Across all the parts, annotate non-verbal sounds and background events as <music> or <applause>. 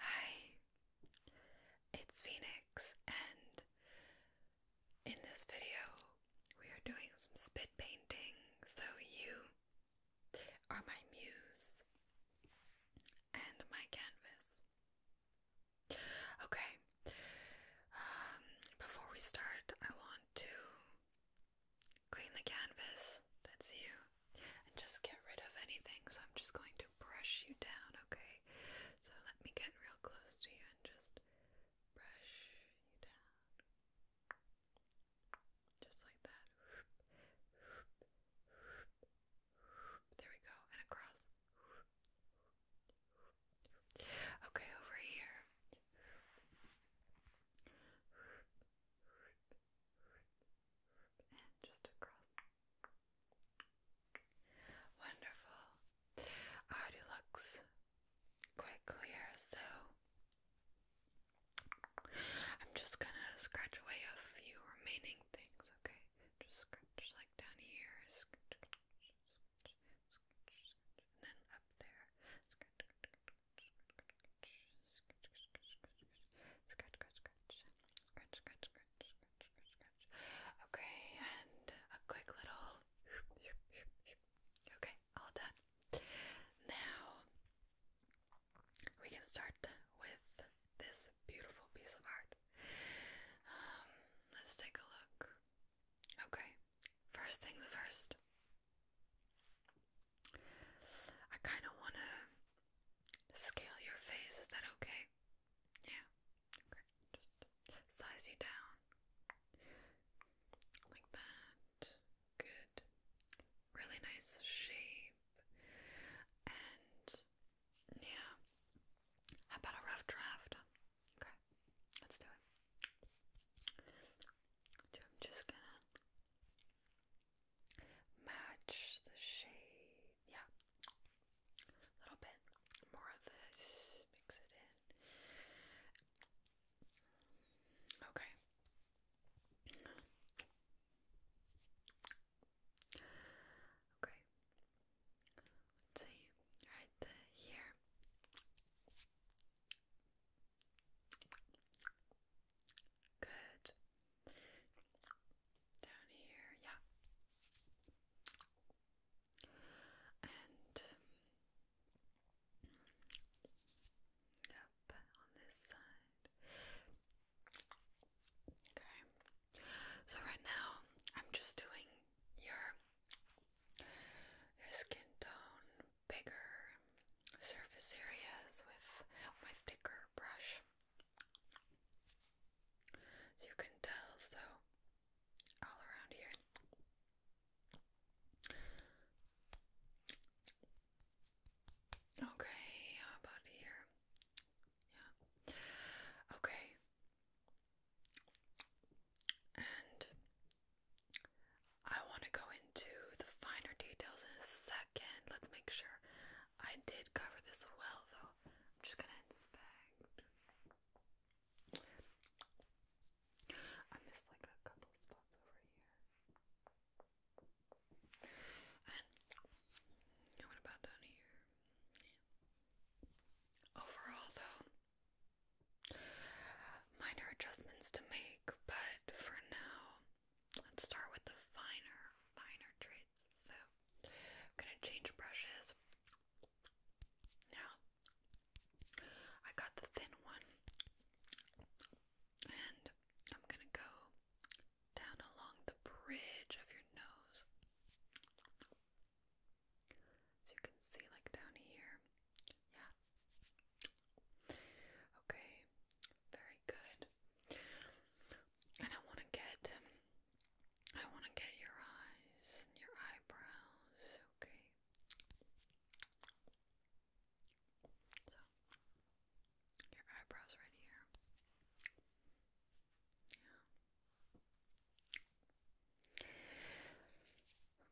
Hi, it's Phoenix, and in this video, we are doing some spit painting. So, you are my muse and my canvas. Okay, um, before we start, I want to clean the canvas, that's you, and just get rid of anything. So I'm just going to brush you down, okay? So let me get real close to you and just brush you down. Just like that. There we go, and across. Okay, over here and just across. looks quite clear, so I'm just gonna scratch away a few remaining things, okay? Just scratch like down here, and then up there, Okay, and a quick little. Okay, all done. Now we can start with this beautiful piece of art. Um, let's take a look. Okay, first things first. I kind of want to scale your face. Is that okay? Yeah. Okay. Just size you down. Like that. Good. Really nice shape. And yeah. How about a rough draft? Okay. Let's do it. So I'm just gonna match the shade. Yeah, a little bit more of this. Mix it in. Okay. Okay. Let's see. Right here. Good. Down here, yeah. And up on this side. Okay. So right now I'm just doing your skin tone bigger surface areas with my thicker brush. you can tell, so all around here. Okay, about here? Yeah. Okay. And I want to go into the finer details in a second. Let's make sure I did cover this well, though. I'm just going to inspect. I missed like a couple spots over here. And what about down here? Overall, though. Minor adjustments to make, but for now, Let's start with the finer, finer traits. So I'm gonna change brushes. Now I got the thin one and I'm gonna go down along the bridge of your nose. So you can see like down here. Yeah, Okay, very good. And I want to get, um, I want to get your eyes and your eyebrows. Okay. your eyebrows right here. Yeah.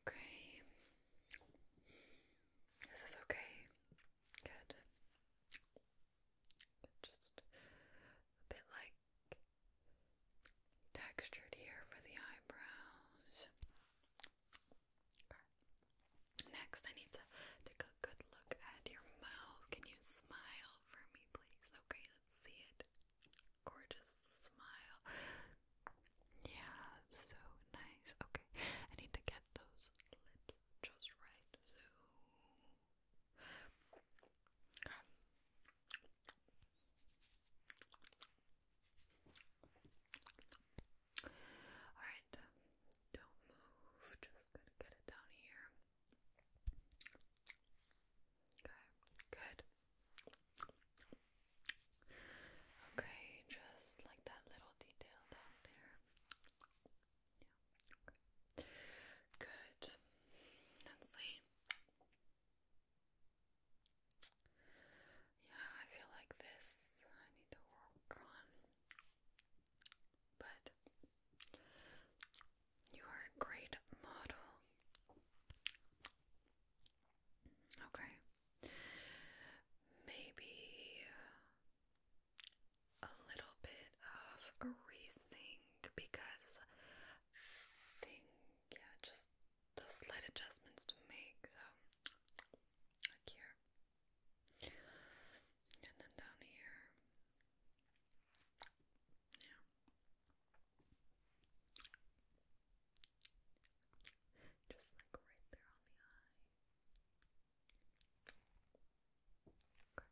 Okay. Is this okay? Good. Just a bit like textured here for the eyebrows. Next, I need to take a good look at your mouth. Can you smile for me, please? Okay, let's see it. Gorgeous smile. Yeah, so nice. Okay, I need to get those lips just right. So. Alright, um, don't move, just gonna get it down here. Okay, good. Okay, just like that little detail down there. Yeah. Good. let Yeah, I feel like this I need to work on. But you are a great model. Okay. Maybe a little bit of erasing because yeah, just the slight adjustments to make. So, here, and then down here, yeah. Just like right there on the eye. Okay. just there. Good.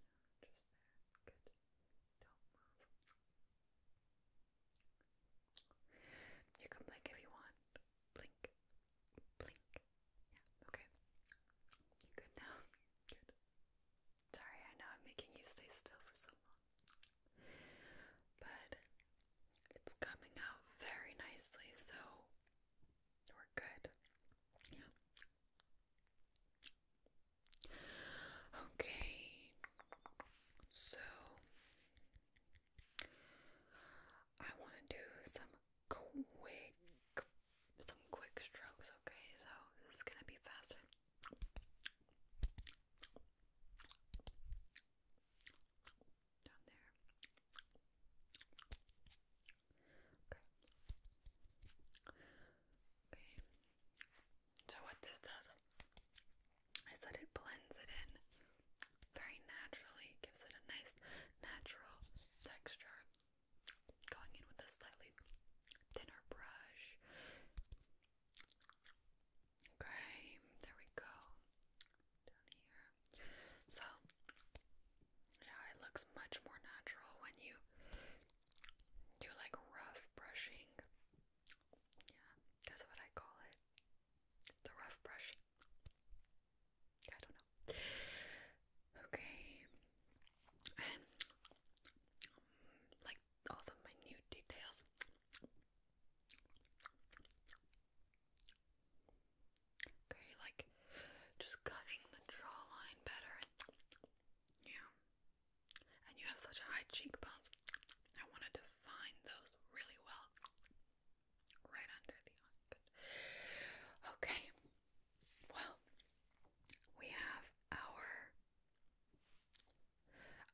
Don't move. You can blink if you want. Blink. Blink. Yeah, okay. good now? <laughs> Good. Sorry, I know I'm making you stay still for so long. But it's coming out very nicely, so we're good. Yeah. Okay. So I want to do some quick some quick strokes, okay? So this is going to be faster. So what this does is that it blends it in very naturally, gives it a nice natural texture. Going in with a slightly thinner brush Okay, there we go. Down here. So, yeah, it looks much more natural when you do like rough brushing. Yeah, that's what I call it. The rough brush. I don't know. Okay. And like all the minute details. Okay, like just cutting the jawline better. Yeah. And you have such high cheekbones. I want to define those really well. Right under the eye. Okay. Well, we have our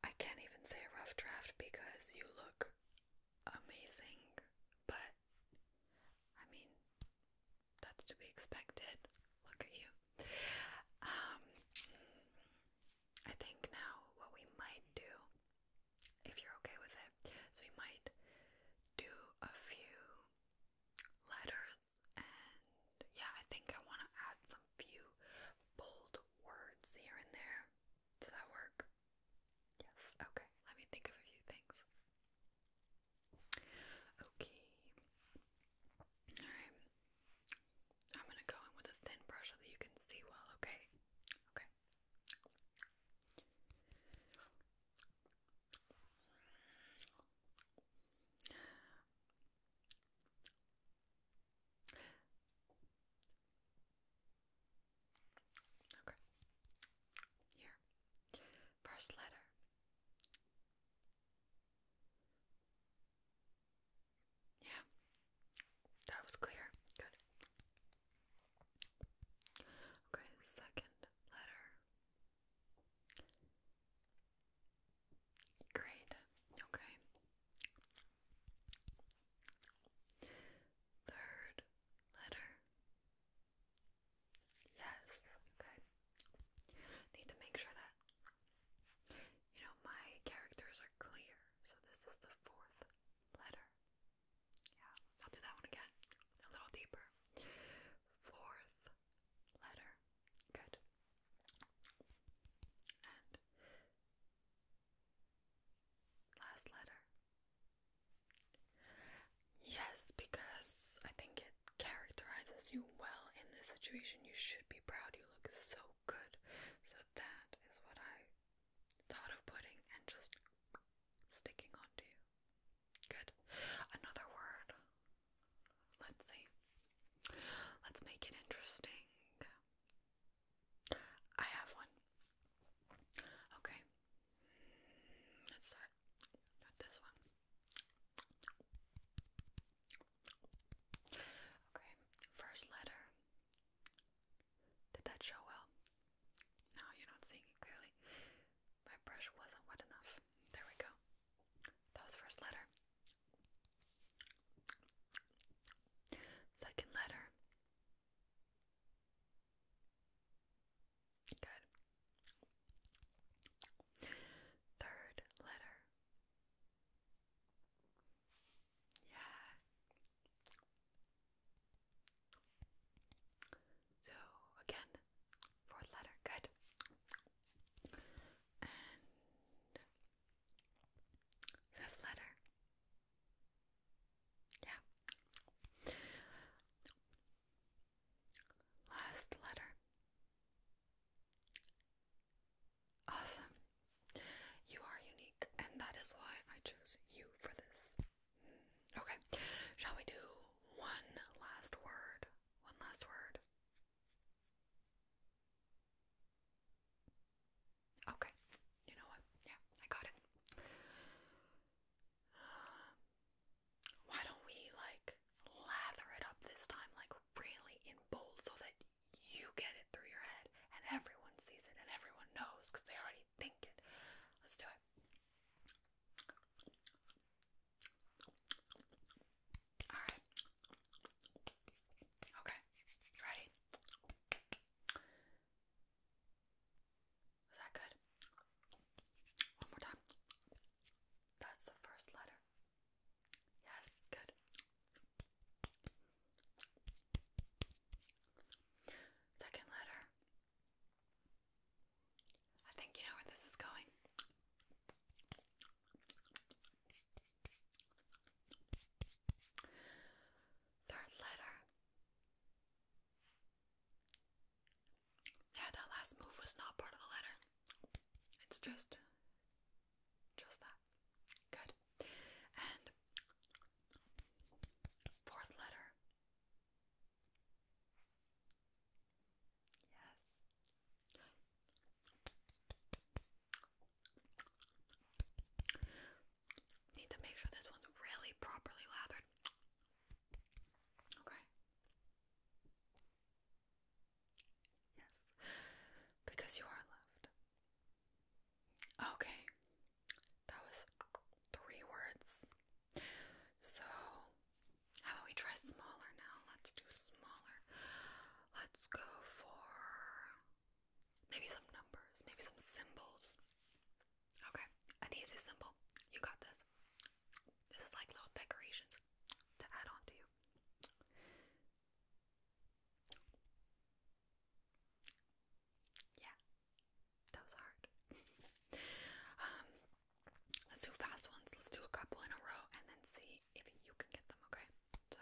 I can't even say a rough draft because you look amazing, but I mean, that's to be expected. Look at you. Um, I think now what we might do, if you're okay with it, so we might do a few letters and yeah, I think I want to add some few bold words here and there. Does that work? Yes. Okay. Let me think of a few things. Okay. Alright. I'm gonna go in with a thin brush so that you can see well, okay? Okay. Okay. Here. First letter. Yeah. That was clear. Good. Okay, second letter. Great. Okay. Third letter. Yes. Okay. Need to make sure that you know my characters are clear. So this is the fourth letter. Yeah, I'll do that one again. A little deeper. Fourth letter. Good. last letter. Yes, because I think it characterizes you well in this situation. You should be proud. You look so good. So that is what I thought of putting and just sticking onto you. Good. Another word Let's see. Let's make it interesting. I have one. Okay. Let's start with this one. Okay, first letter. Did that show well? No, you're not seeing it clearly. My brush wasn't wet enough. There we go. That was first letter. Second letter. Good. Third letter. Yeah. So again, fourth letter. Good. And Fifth letter. Yeah. Last letter. Awesome. You are unique, and that is why I chose you for this. Okay, shall we do one last word? One last word. Okay, you know what? Yeah, I got it. why don't we like lather it up this time, like really in bold, so that you get it through your head and everyone sees it and everyone knows because they already think it. Let's do it. Alright. Okay. You ready? Was that good? One more time. That's the first letter. Yes, good. Second letter. I think you know where this is going. Third letter. Yeah, that last move was not part of the letter. It's just just that. Good. And fourth letter. Need to make sure this one's really properly lathered. Okay. Yes. Because you are loved. Okay. That was three words. So how about we try smaller now? Let's do smaller. Let's go for maybe some numbers, maybe some symbols. Okay, an easy symbol. You got this. This is like little decorations to add on to you. Yeah, that was hard. <laughs> Um, Let's do fast ones. Let's do a couple in a row and then see if you can get them, okay? So.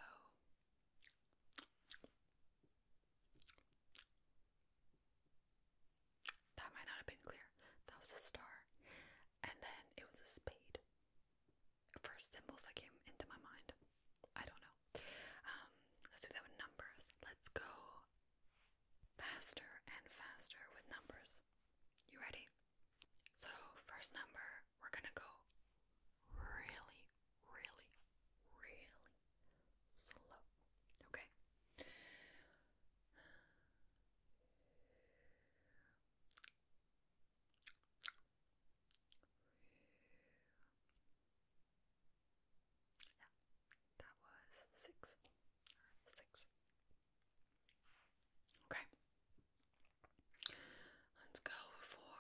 That might not have been clear. That was a star. And then it was a spade. First symbols that came into my mind. I don't know. Um, let's do that with numbers. Let's go faster and faster with numbers. You ready? So, first number, we're gonna go really, really, really slow. Okay? Yeah, that was six. Six. Okay, Let's go for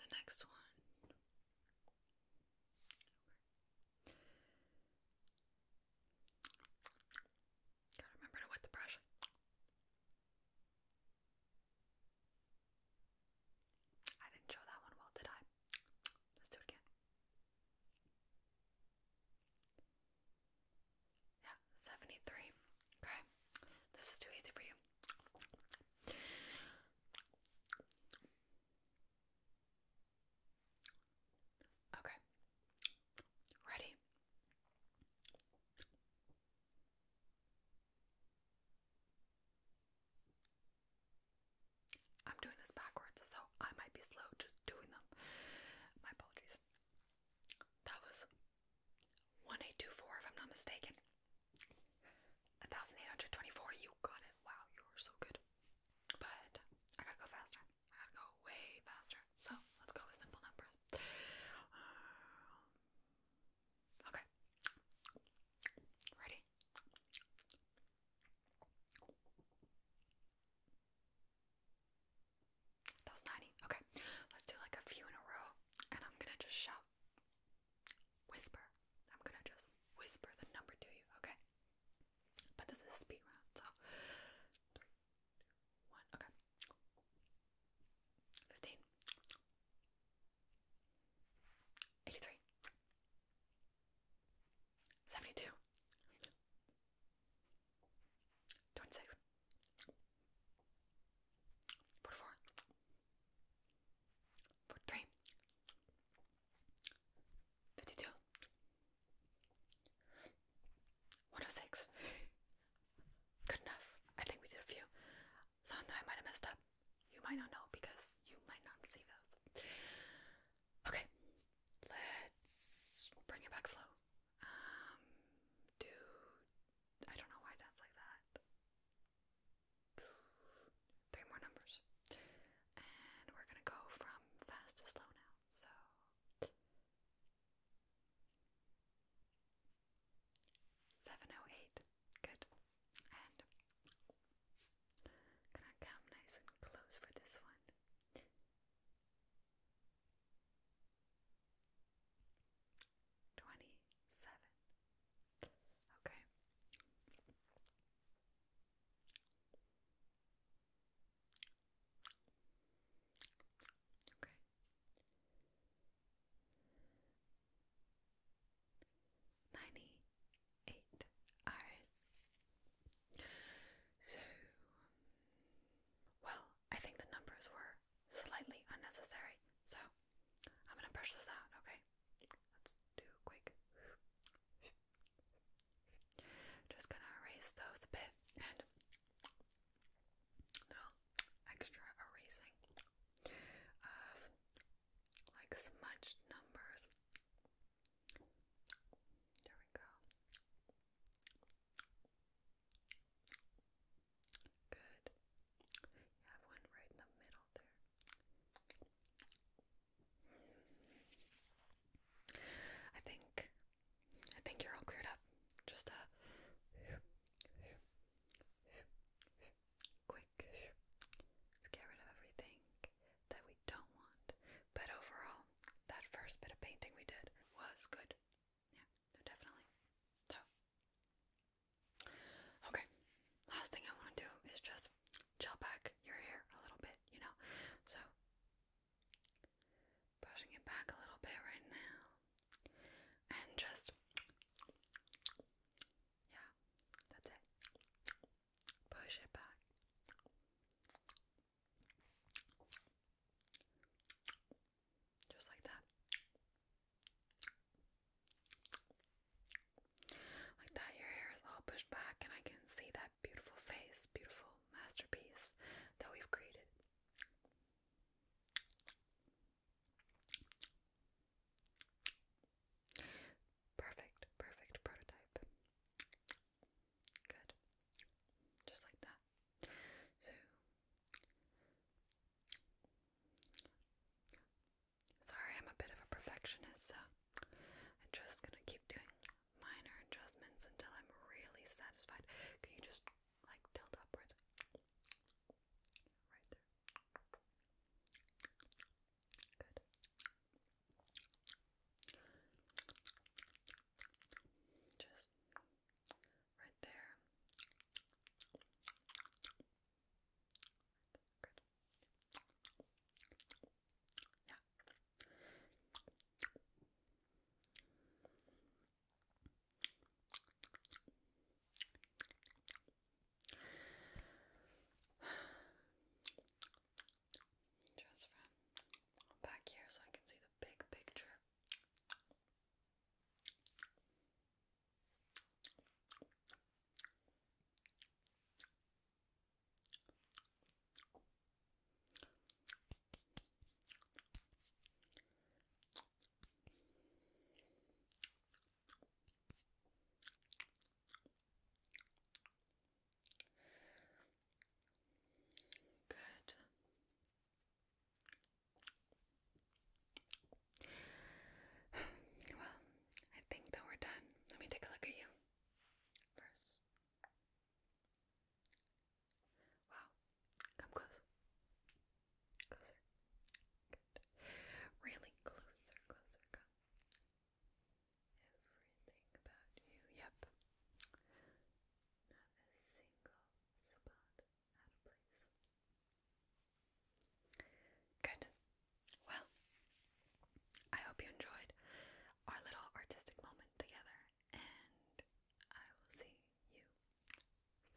the next one. Gotta remember to wet the brush. I didn't show that one well, did I? Let's do it again. Yeah, 73. Okay, this is too easy for you. Okay, ready? I'm doing this backwards, so I might be slow just doing them. My apologies. That was 1824, if I'm not mistaken. 1824, you got it. Wow, you're so good. But I gotta go faster. I gotta go way faster. So let's go with simple numbers. Um, okay. Ready? That was 90. Okay, let's do like a few in a row, and I'm gonna just shout, whisper. I'm gonna just whisper the number to you, okay? But this is speed round, so three, two, one, okay. 15, 26 106 Good enough. I think we did a few. Some though I might have messed up. You might not know because you might not see those. Okay, let's bring it back slow. Um, do I don't know why that's like that. Three more numbers, and we're gonna go from fast to slow now. So. Seven oh eight. Good. And gonna come nice and close for this one. Twenty seven. Okay. Okay. Ninety eight hours. So well, I think the numbers were slightly unnecessary, so I'm gonna brush this out, okay? Let's do quick. Just gonna erase those a bit and little extra erasing of like smudged numbers there we go. Good. You have one right in the middle there. I think I think you're all cleared up. Just a quick. Let's get rid of everything that we don't want. But overall, that first bit of painting we did was good. Yeah, definitely. So, okay, last thing I want to do is just gel back your hair a little bit, you know? So, brushing it back a little bit right now, and just yeah, that's it. Push it back. Just like that. Like that, your hair is all pushed back, and I can see that beautiful face, beautiful masterpiece that we've created. Perfect, perfect prototype. Good. Just like that. So sorry I'm a bit of a perfectionist, so I'm just gonna keep doing minor adjustments until I'm really satisfied. Can you just like tilt upwards? Right there. Good. Just right there. Good. Yeah. Just from back here so I can see the big picture. Good. Well, I think that we're done. Let me take a look at you first. Wow. Come close. Closer. Good. Really closer, closer everything about you. Yep. Not a single spot out of place. Good. Well, I hope you enjoyed our little artistic moment together, and I will see you soon.